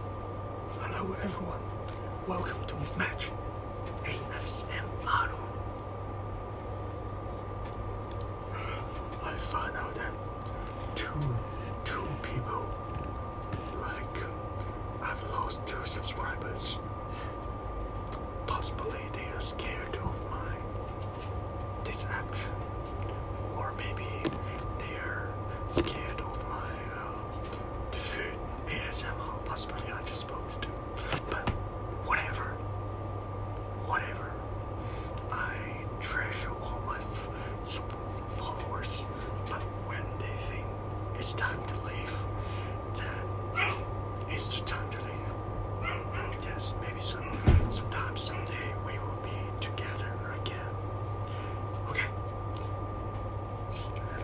Hello everyone, welcome to Match ASMR. I found out that two, two people, like, I've lost two subscribers. Possibly they are scared of my this action, or maybe they are scared of my uh, the food ASMR possibly I just supposed to. But whatever. Whatever. I treasure all my supporters and followers. But when they think it's time to leave, then it's the time to leave. Yes, maybe some sometime someday we will be together again. Okay.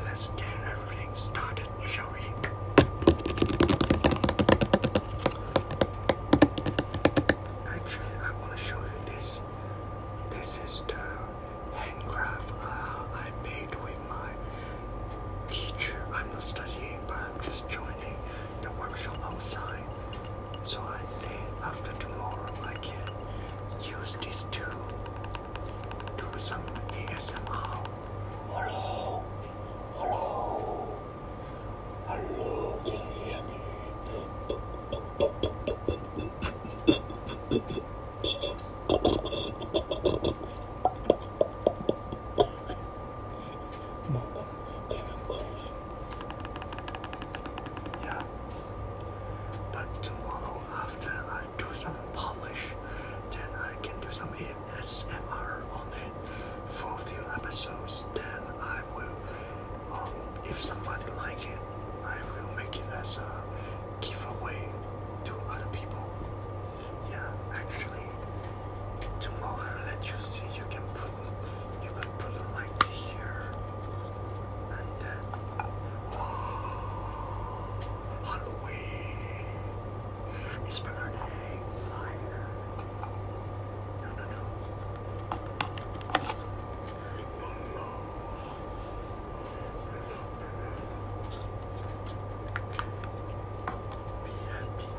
Let's get everything started, shall we? Actually, I want to show you this. This is the handcraft uh, I made with my teacher. I'm not studying, but I'm just joining the workshop outside. So I think after tomorrow I can use this to do some ASMR. Hello, hello, hello, can you hear me? Mama, can you please? Yeah, but tomorrow after I do some polish, then I can do some S M R on it for a few episodes. Then I will, um, if somebody like it, I will make it as a giveaway to other people. Yeah, actually, tomorrow let you see. You can put, you can put it like here. And uh, Halloween is burning fire. No, no, no. Hello. Hello, hello. Be happy.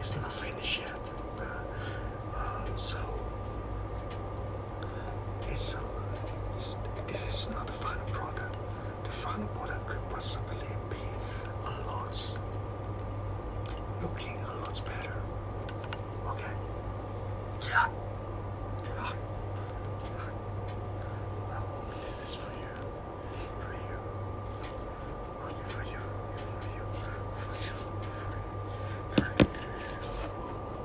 It's not finished yet, but, um, so uh, this is not the final product. The final product could possibly be a lot looking a lot better. Okay? Yeah. Yeah. this is For you. For you. For you. For you. For you. For you. For you.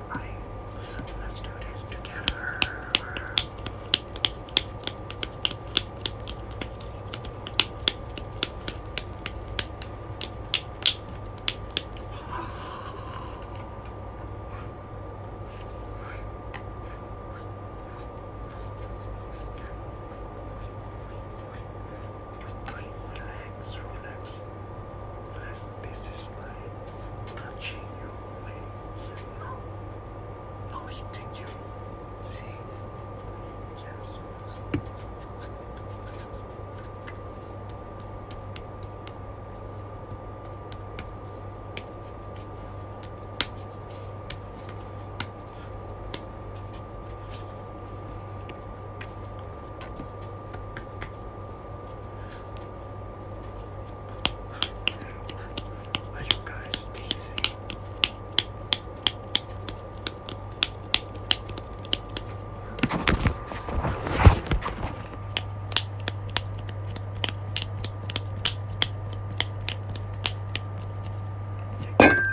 everybody. Let's do this together relax, relax. Relax, this is like touching you way. No, no hitting you. See? Yes. Are you guys teasing? All right.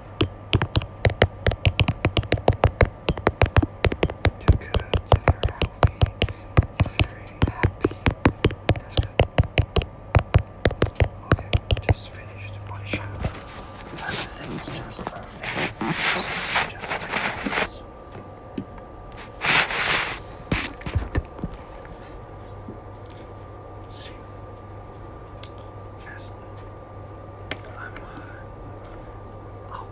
You're good. If you're healthy, if you're Okay, just finish the body Everything's just perfect. So just relax. See, Yes. I'm, uh, oh.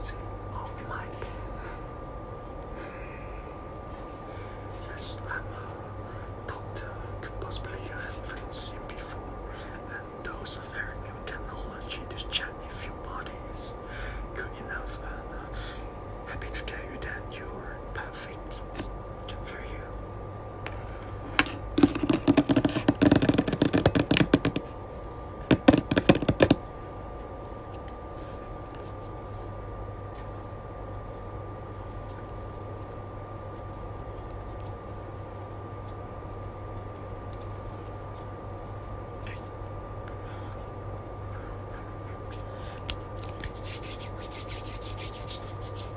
See, oh my Yes, I'm a uh, doctor, could possibly you uh, haven't seen before, and those of very new technology to check if your body is good enough, and uh, happy to tell you that you are perfect. Good for you.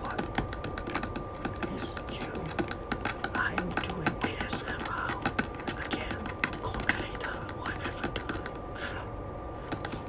What is you? I'm doing ASMR again. Call whatever.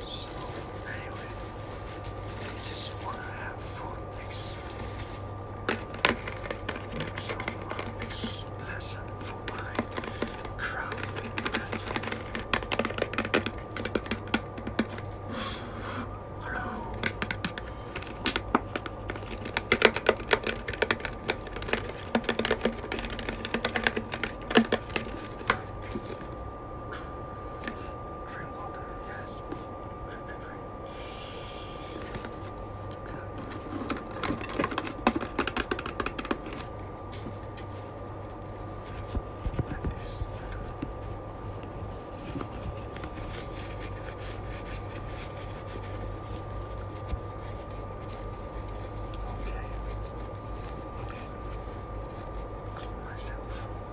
So anyway, this is what I have for this so lesson for my crowd lesson. Hello. Drink water, yes. Drink, drink, drink. Good. Like this. Okay. Okay. Clean myself.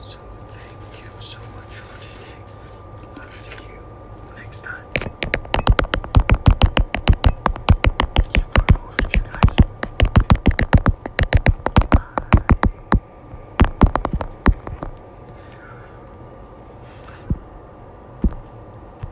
So thank you so much for today. I'll see you next time. Thank you for all of you guys. Bye.